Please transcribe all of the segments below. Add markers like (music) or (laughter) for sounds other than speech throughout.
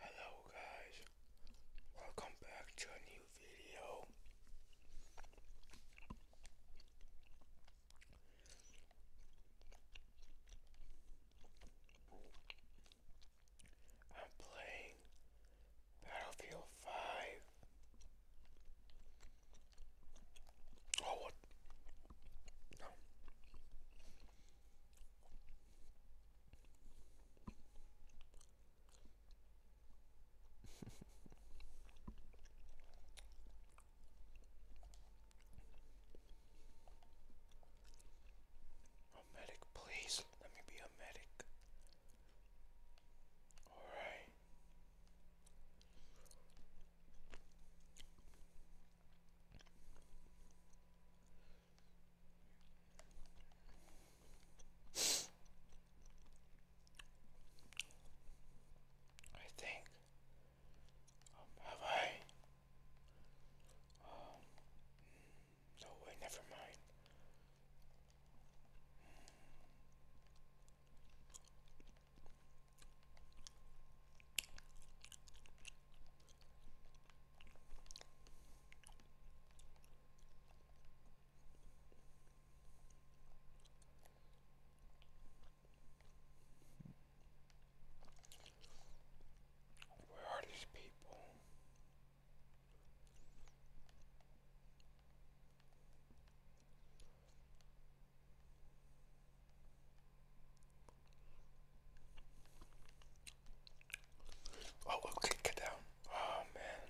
Hello guys, welcome back to a new video. I'm playing Battlefield 5. Oh, what? a medic, please. Let me be a medic. All right. I think um, have I? Um, no way, never mind. Where are these people? Oh, okay, get down. Oh, man.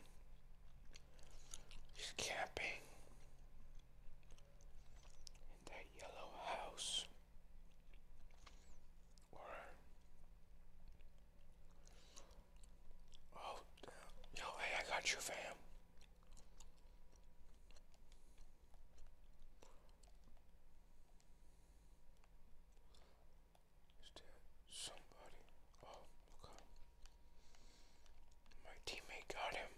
He's camping in that yellow house. Or, oh, yo, hey, I got you, fam. Is there somebody? Oh, My teammate got him.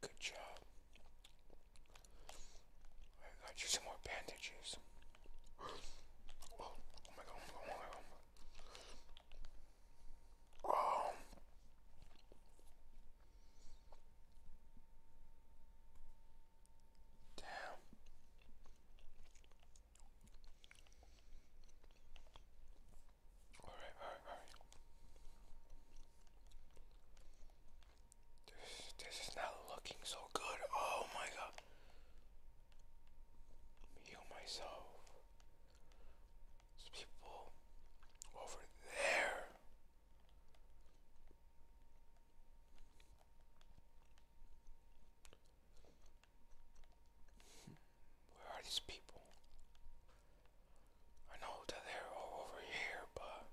Good job. I got you some more bandages. (gasps) Oh, oh my god, oh my god, oh my god. Oh. Damn. All right, all right, all right. This, this is not looking so good. Oh my god. Heal myself. There's people over there. Where are these people? I know that they're all over here, but.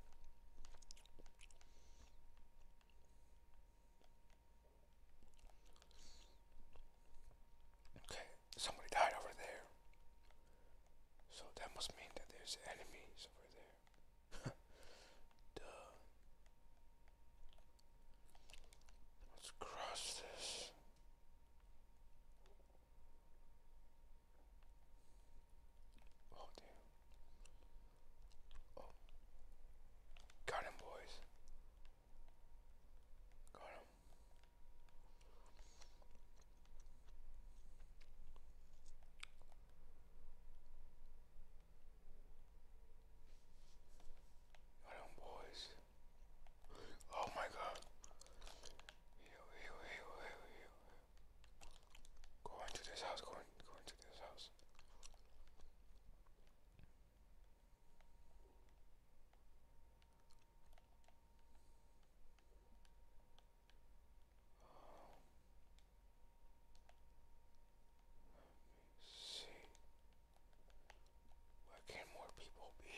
Okay, somebody died over there. So that must mean that there's enemies over there. (laughs) Duh. Let's cross this. Oh damn. Oh. Got him boys. Got him. Hold boys. Oh my God. Heal, heal, heal, heal, heal. Go into this house. Go, go into this house see. Where can more people be?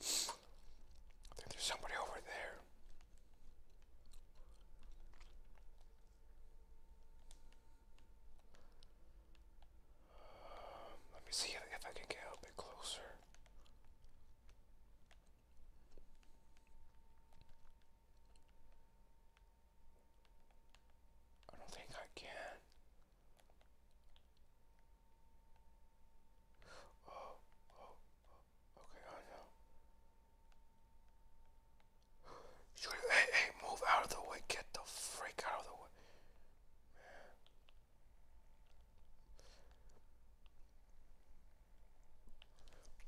I think there's somebody over there. Um, let me see if I can get a bit closer. I don't think I can. Oh, oh, okay, I know. You, hey, hey, move out of the way. Get the freak out of the way. Man.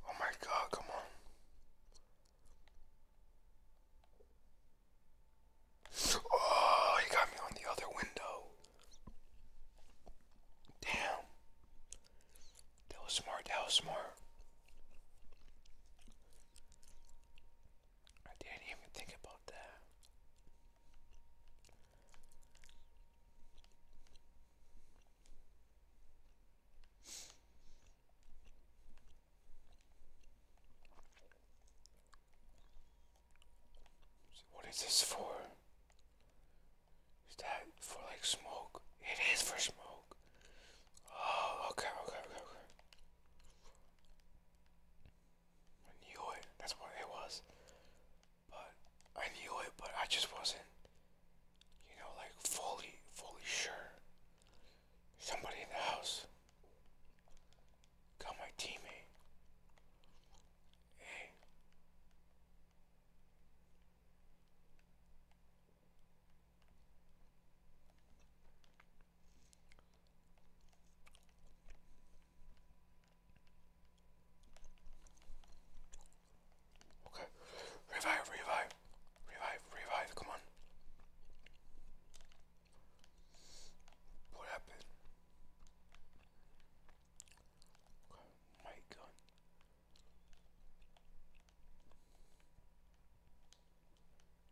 Oh my god, come on. Oh, he got me on the other window. Damn. That was smart. That was smart. I didn't even think about that what is this for? Is that for like smoke? It is for smoke. Oh, okay, okay, okay, okay. I knew it. That's what it was. But I knew it, but I just wasn't, you know, like fully, fully sure. Somebody in the house. Got my teammate. Hey. Okay. Revive, revive. Revive, revive. Come on. What happened? my God.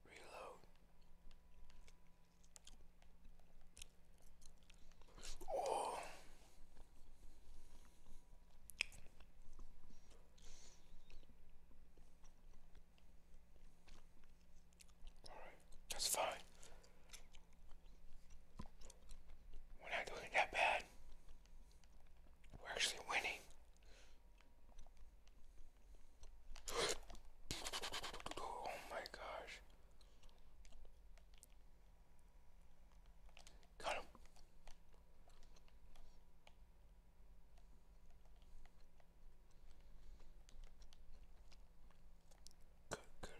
Reload. Oh that's fine. We're not doing that bad. We're actually winning. oh my gosh. Got him. Good, good.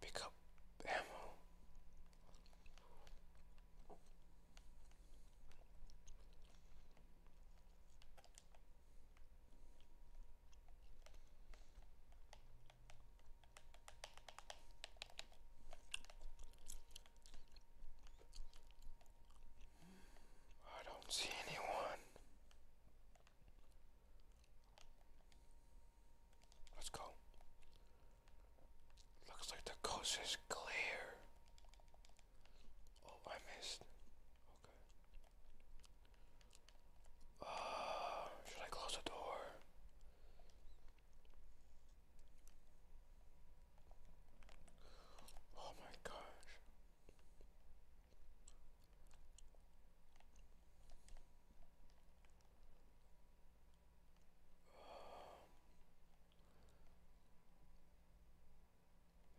Pick up I don't see anyone. Let's go. Looks like the coast is clear. Oh, I missed. Okay. Uh, should I close the door? Oh my gosh.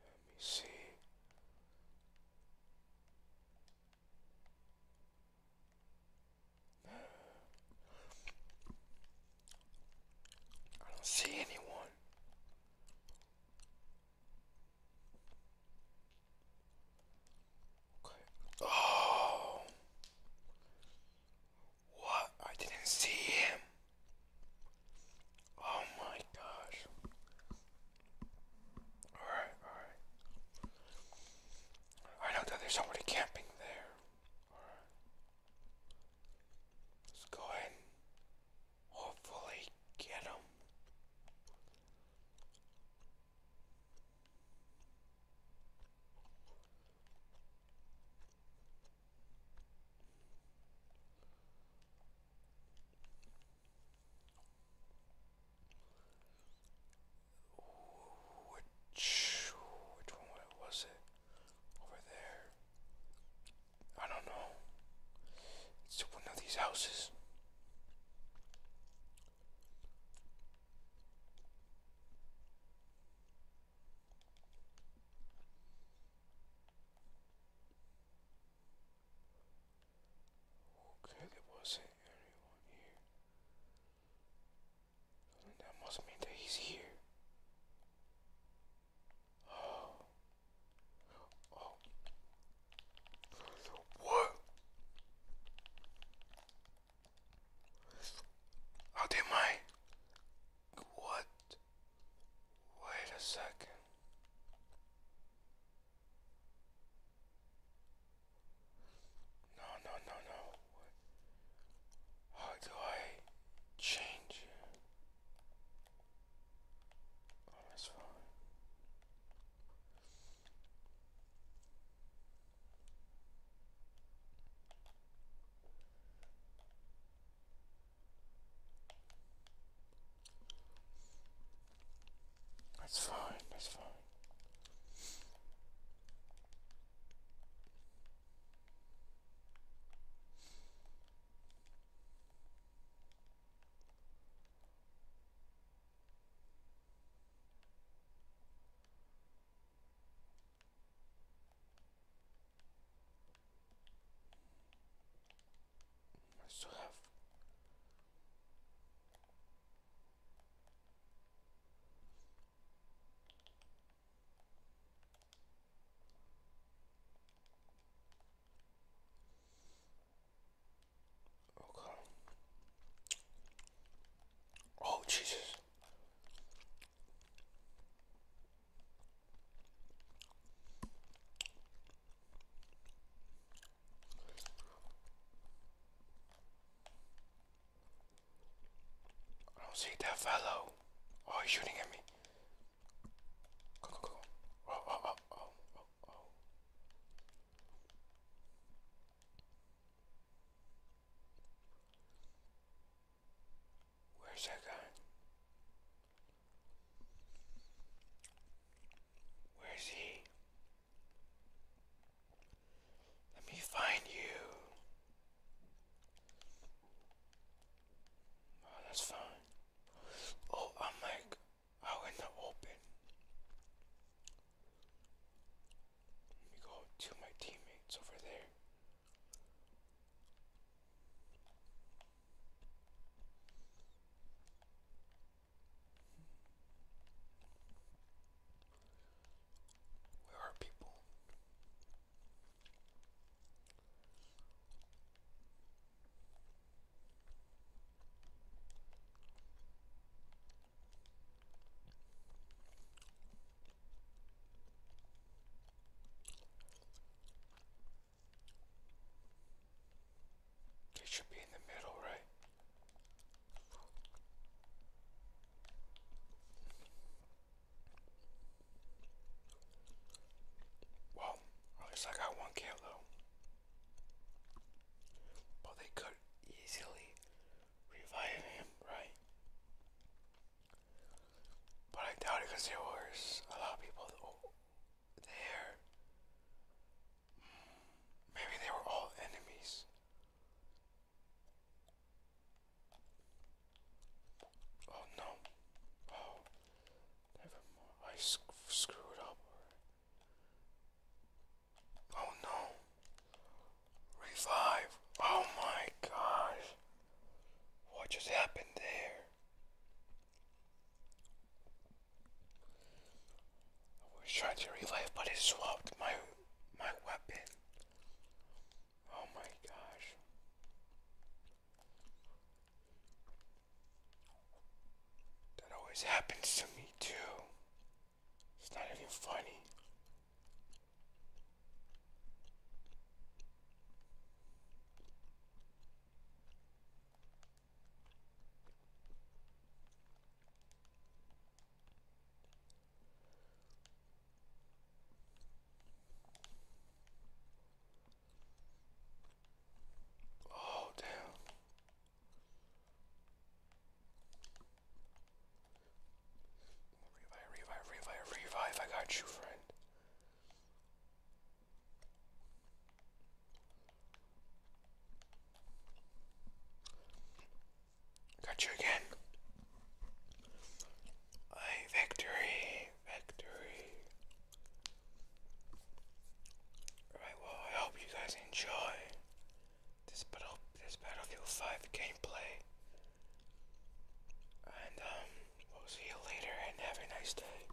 Let me see. I don't see anyone. Okay. Oh. What? I didn't see him. Oh my gosh. Alright, alright. I know that there's somebody camping there. Alright. Let's go ahead hopefully get him. Which, which one was it? Over there. I don't know. It's one of these houses. Okay, there wasn't anyone here. That must mean that he's here. What? How did my... What? Wait a second. No, no, no, no. How do I change? on his That's fine, that's fine. I still have Okay. Oh, Jesus. I don't see that fellow. Oh, he's shooting at me. Where's that guy? Where's he? Let me find you. Oh, that's fine. Oh, I'm like out in the open. Let me go to my teammates over there. Where are people? It should be in the middle, right? Well, at least I got one kilo. But they could easily revive him, right? But I doubt it because there was a lot of people oh, there. Hmm, maybe they were all enemies. Oh no. Oh. Never more. I screwed up. Oh no. Revive. Oh my gosh. What just happened there? I was trying to revive but it swapped my my weapon. Oh my gosh. That always happens to me too. It's not even funny. Oh, damn. Revive, revive, revive, revive. I got you, friend. Got you again. A victory, victory. Alright, well, I hope you guys enjoy this battle, this Battlefield 5 gameplay. And um, we'll see you later and have a nice day.